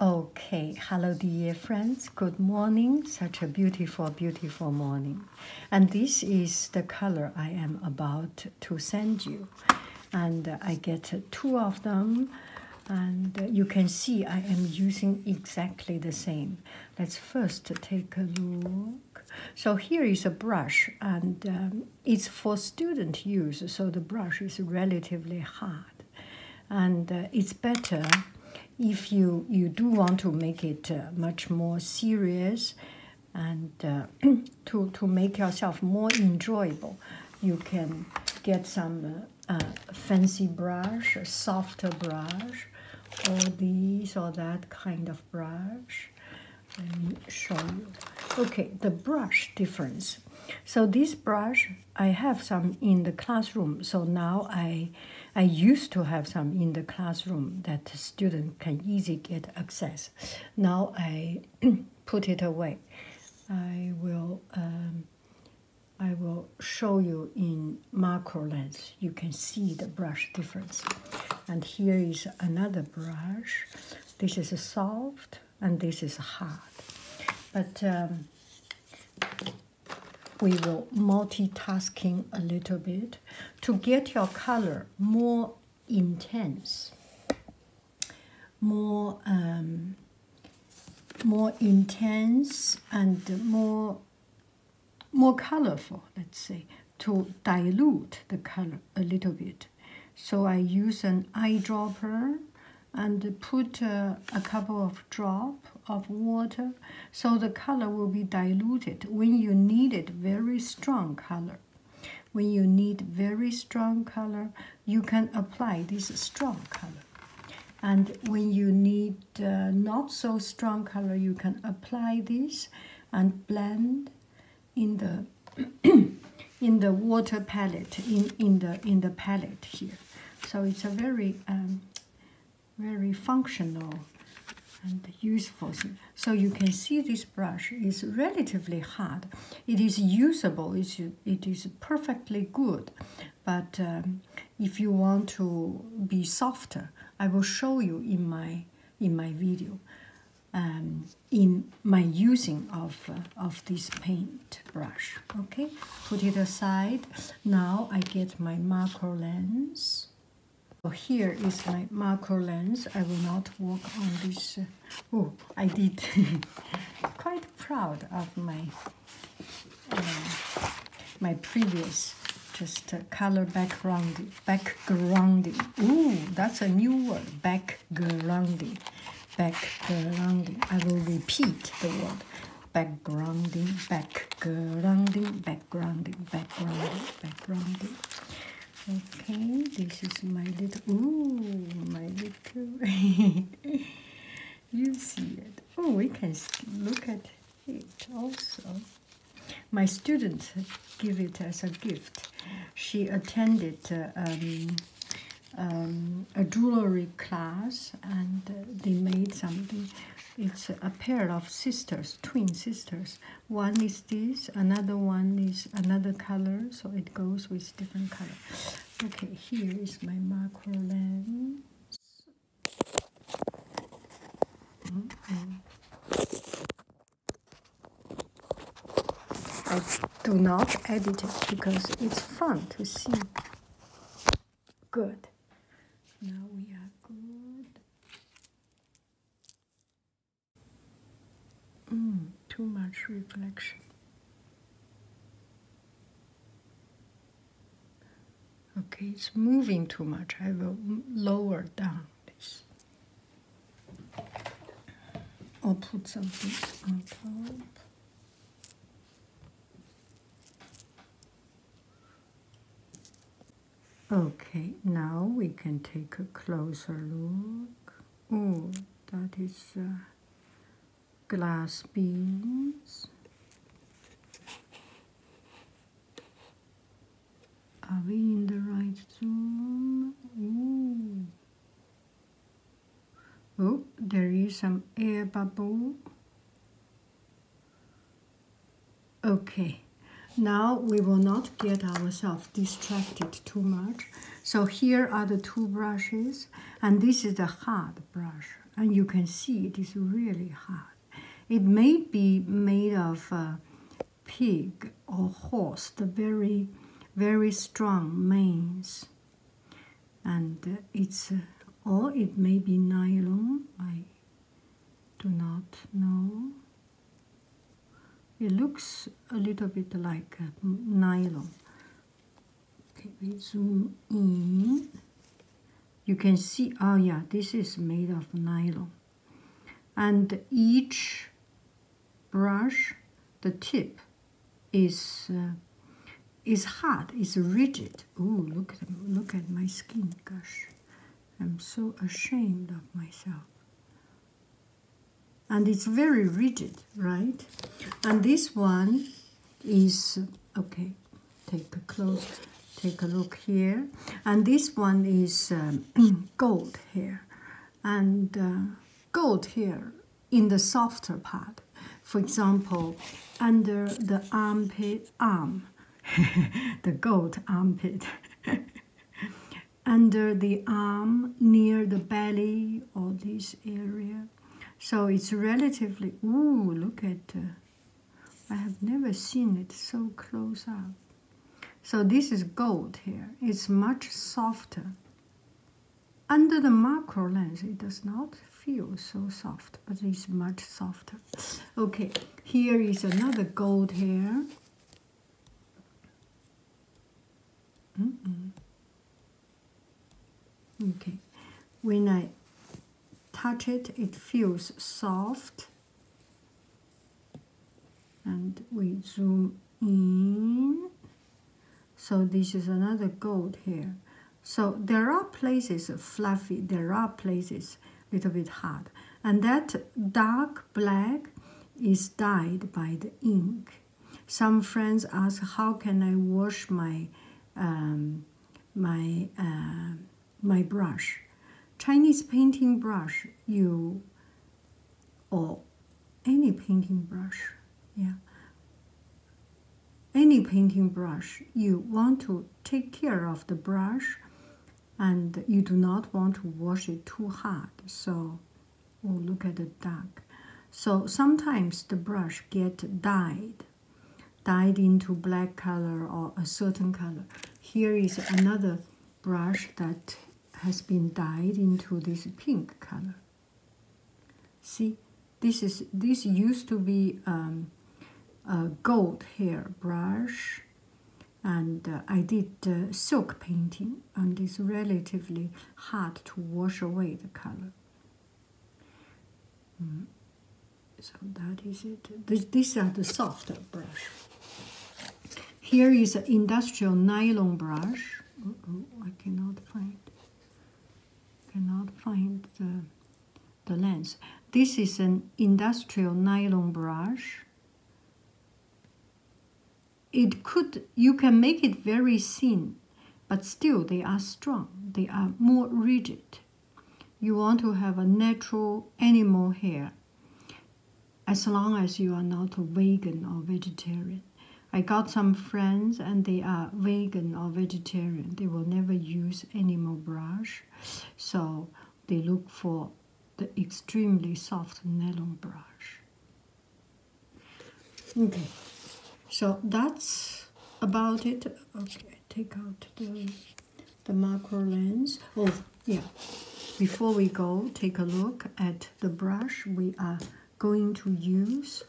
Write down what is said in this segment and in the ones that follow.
Okay, hello dear friends. Good morning. Such a beautiful, beautiful morning. And this is the color I am about to send you. And I get two of them. And you can see I am using exactly the same. Let's first take a look. So here is a brush and um, it's for student use. So the brush is relatively hard. And uh, it's better if you you do want to make it uh, much more serious and uh, to to make yourself more enjoyable. You can get some fancy brush, a softer brush, or this or that kind of brush. Let me show you. Okay, the brush difference. So this brush I have some in the classroom. So now I, I used to have some in the classroom that student can easy get access. Now I put it away. I will, um, I will show you in macro lens. You can see the brush difference. And here is another brush. This is a soft and this is hard. But um, we will multitasking a little bit to get your color more intense more um, more intense and more more colorful let's say to dilute the color a little bit so I use an eyedropper and put uh, a couple of drop of water so the color will be diluted when you need it very strong color when you need very strong color you can apply this strong color and when you need uh, not so strong color you can apply this and blend in the in the water palette in in the in the palette here so it's a very, um, very functional and useful. So you can see this brush is relatively hard. It is usable, it's, perfectly good. But um, if you want to be softer, I will show you in my, in my video, um, in my using of, uh, of this paint brush okay put it aside now i get my macro lens so here is my macro lens i will not work on this uh, oh i did quite proud of my uh, my previous just uh, color background backgrounding Ooh, that's a new word backgrounding backgrounding i will repeat the word backgrounding, backgrounding, backgrounding, backgrounding, backgrounding. Okay, this is my little, ooh, my little, you see it. Oh, we can look at it also. My student gave it as a gift. She attended um, um, a jewelry class and uh, they made something. It's a pair of sisters, twin sisters. One is this, another one is another color, so it goes with different color. Okay, here is my macro lens. Mm-hmm. I do not edit it because it's fun to see. Good. Now we are good. Mm, too much reflection. Okay, it's moving too much. I will lower down this. I'll put something on top. Okay, now we can take a closer look. Oh, that is uh, glass beads. Are we in the right zone? oh there is some air bubble okay now we will not get ourselves distracted too much so here are the two brushes and this is the hard brush and you can see it is really hard it may be made of pig or horse the very very strong manes and uh, it's uh, or it may be nylon I do not know it looks a little bit like uh, nylon okay we zoom in you can see oh yeah this is made of nylon and each brush the tip is is hard is rigid Ooh, look at look at my skin. Gosh, I'm so ashamed of myself. And it's very rigid, right? And this one is okay. Take a close, take a look here. And this one is um, gold here, and uh, gold here in the softer part for example, under the armpit arm, the gold armpit, under the arm, near the belly, or this area. So it's relatively. Oh, look at. Uh, I have never seen it so close up. So this is gold here. It's much softer. Under the macro lens, it does not feel so soft, but it's much softer. Okay, here is another gold hair. Okay, when I touch it, it feels soft. And we zoom in. So this is another gold hair. So there are places fluffy, there are places a little bit hard. And that dark black is dyed by the ink. Some friends ask, how can I wash my, um, my, uh, my brush? Chinese painting brush, you, or any painting brush, yeah, any painting brush you want to take care of the brush and you do not want to wash it too hard so oh, look at the dark so sometimes the brush get dyed dyed into black color or a certain color here is another brush that has been dyed into this pink color See, this is this used to be um, a gold hair brush, and uh, I did uh, silk painting, and it's relatively hard to wash away the color. Mm. So that is it. This, these are the softer brush. Here is an industrial nylon brush. I cannot find. Cannot find the the lens. This is an industrial nylon brush. It could, you can make it very thin, but still they are strong. They are more rigid. You want to have a natural animal hair as long as you are not a vegan or vegetarian. I got some friends and they are vegan or vegetarian. They will never use animal brush so they look for the extremely soft nylon brush okay so that's about it okay take out the the macro lens oh yeah before we go take a look at the brush we are going to use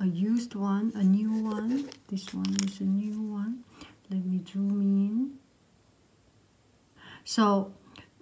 a used one, a new one. This one is a new one. Let me zoom in. So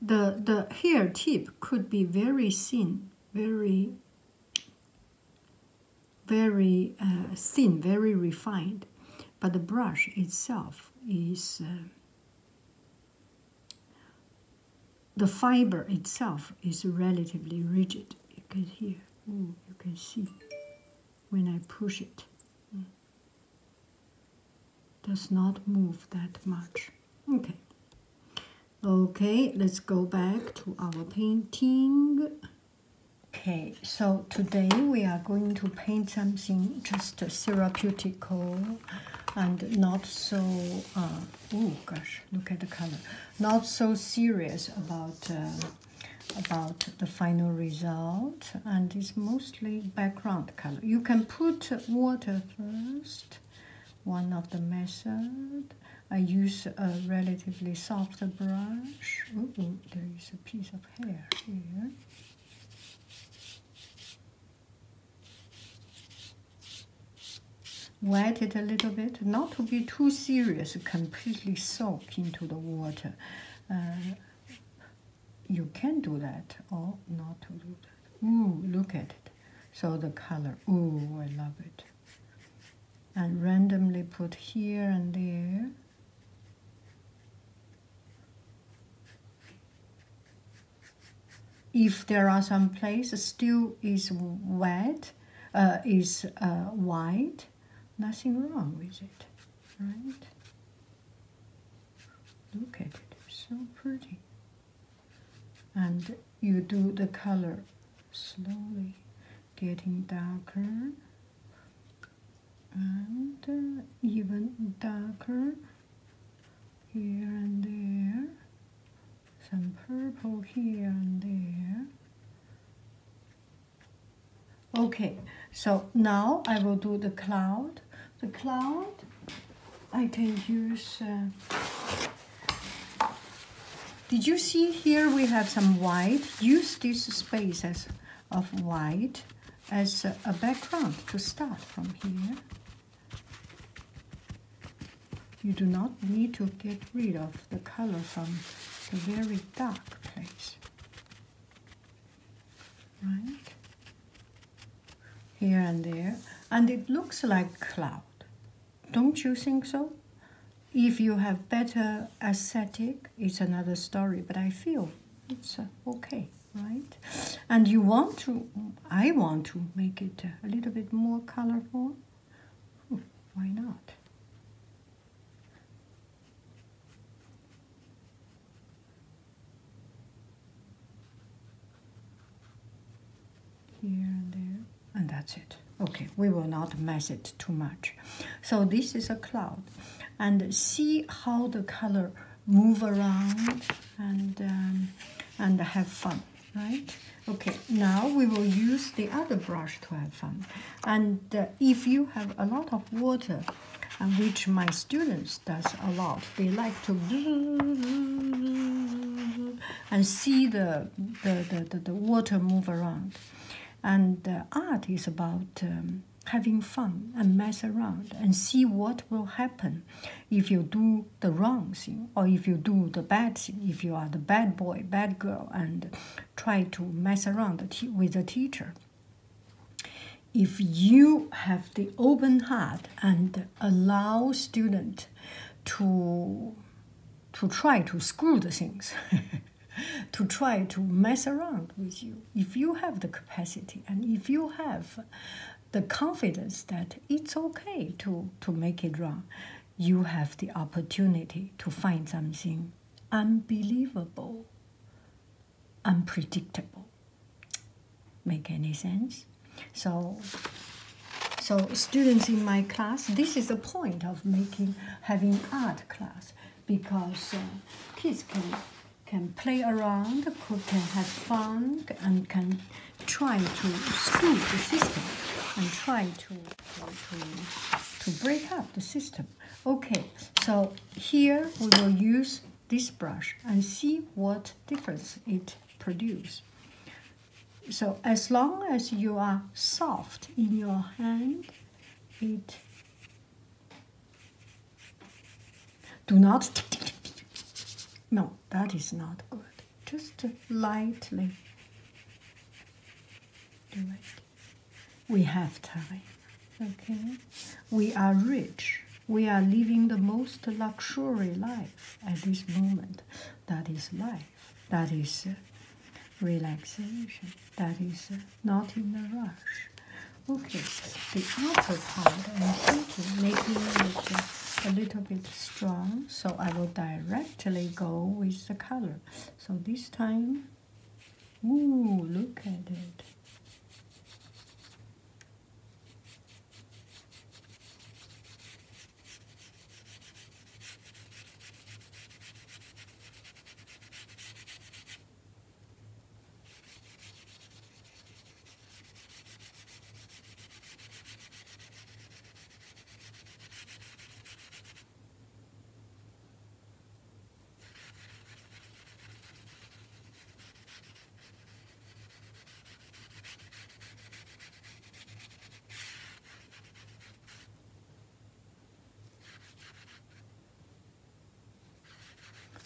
the the hair tip could be very thin, very very uh, thin, very refined, but the brush itself is uh, the fiber itself is relatively rigid. You can hear you can see when I push it, does not move that much. Okay. Okay, let's go back to our painting. Okay, so today we are going to paint something just therapeutical and not so, oh gosh, look at the color, not so serious about uh, about the final result and it's mostly background color. You can put water first, one of the method. I use a relatively soft brush. -oh, there is a piece of hair here. Wet it a little bit, not to be too serious, completely soft into the water. Uh, you can do that or not to do that. Ooh, look at it. So the color. Ooh, I love it. And randomly put here and there. If there are some places still is wet, uh, is uh, white, Nothing wrong with it, right? Look at it, so pretty. And you do the color slowly, getting darker and uh, even darker here and there. Some purple here and there. Okay, so now I will do the cloud. The cloud, I can use... Uh, did you see here we have some white? Use these spaces of white as a background to start from here. You do not need to get rid of the color from the very dark place. Right? Here and there. And it looks like cloud. Don't you think so? If you have better aesthetic, it's another story, but I feel it's uh, okay, right? And you want to, I want to make it a little bit more colorful. Why not? Here and there, and that's it. Okay, we will not mess it too much. So this is a cloud. And see how the color move around and, um, and have fun, right? Okay, now we will use the other brush to have fun. And uh, if you have a lot of water, uh, which my students does a lot, they like to and see the the, the, the, water move around. And uh, art is about um, having fun and mess around and see what will happen if you do the wrong thing or if you do the bad thing, if you are the bad boy, bad girl, and Try to mess around with the teacher. If you have the open heart and allow student to to try to screw the things, to try to mess around with you, if you have the capacity and if you have the confidence that it's okay to, to make it wrong, you have the opportunity to find something unbelievable, unpredictable. Make any sense? So, so students in my class, this is the point of making having art class because uh, kids can can play around, can have fun, and can try to scoop the system and try to, to, to, to break up the system. Okay, so here we will use this brush and see what difference it produces. So as long as you are soft in your hand, it do not no, that is not good. Just lightly we have time. Okay? We are rich. We are living the most luxury life at this moment. That is life. That is uh, relaxation. That is uh, not in a rush. Okay, the outer part I'm thinking making it uh, a little bit strong, so I will directly go with the color. So this time Ooh, look at it.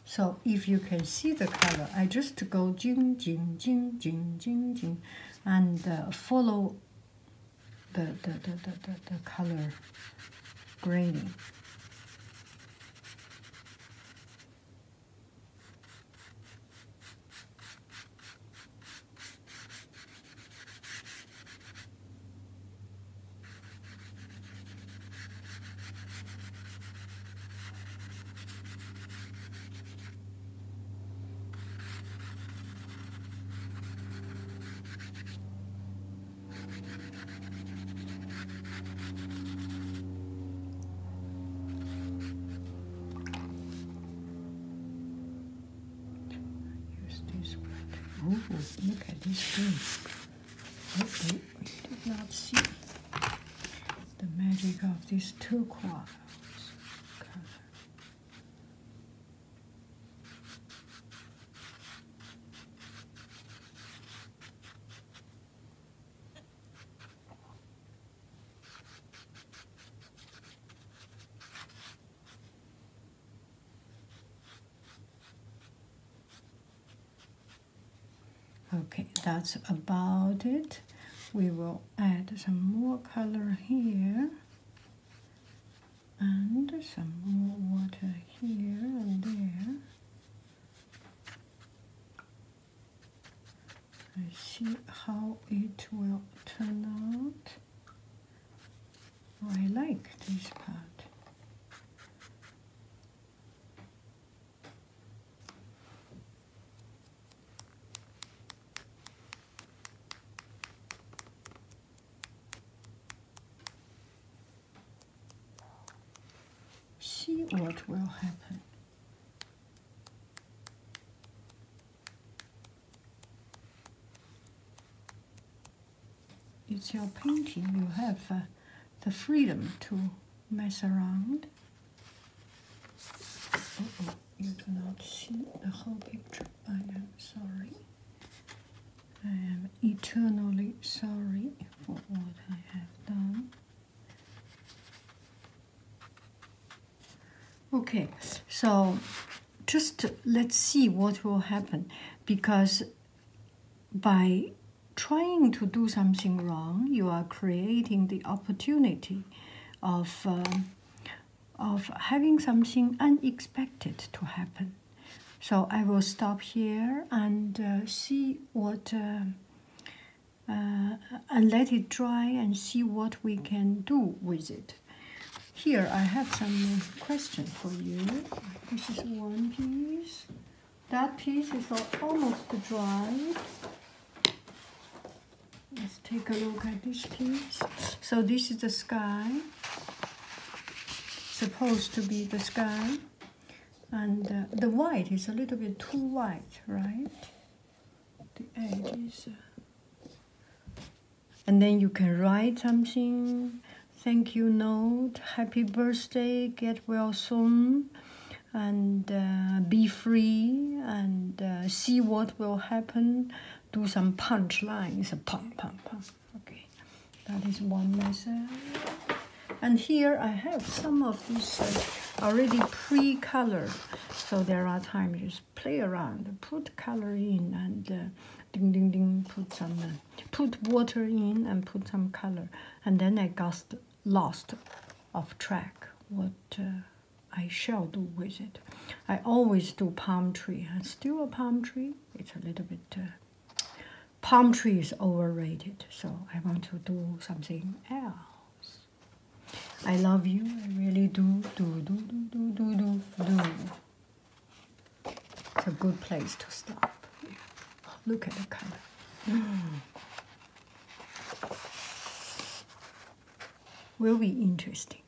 So if you can see the color, I just go jing, jing, jing, jing, jing, jing, and uh, follow the, the, the, the, the color grading. Here's this Oh, look at this thing. Okay, we did not see the magic of these two quadrants. Okay, that's about it. We will add some more color here and some more water here and there. I see how it will turn out. I like this part. See what will happen. It's your painting, you have uh, the freedom to mess around. Uh -oh. You cannot see the whole picture, I am sorry. I am eternally sorry for what I have done. Okay, so just let's see what will happen because by trying to do something wrong, you are creating the opportunity of, uh, of having something unexpected to happen. So I will stop here and uh, see what uh, uh, and let it dry and see what we can do with it. Here I have some question for you. This is one piece. That piece is almost dry. Let's take a look at this piece. So this is the sky supposed to be the sky. And uh, the white is a little bit too white, right? The edges. Uh, and then you can write something, thank you note, happy birthday, get well soon, and uh, be free, and see what will happen, do some punch lines, pum, pum, pum okay that is one measure and here I have some of these uh, already pre-colored so there are times just play around put color in and uh, ding ding ding put some uh, put water in and put some color and then I got lost off track what I shall do with it I always do palm tree and still a palm tree it's a little bit Palm tree is overrated, so I want to do something else. I love you, I really do, do, do, do, do, do, do. do. It's a good place to stop. Look at the color. Mm. Will be interesting.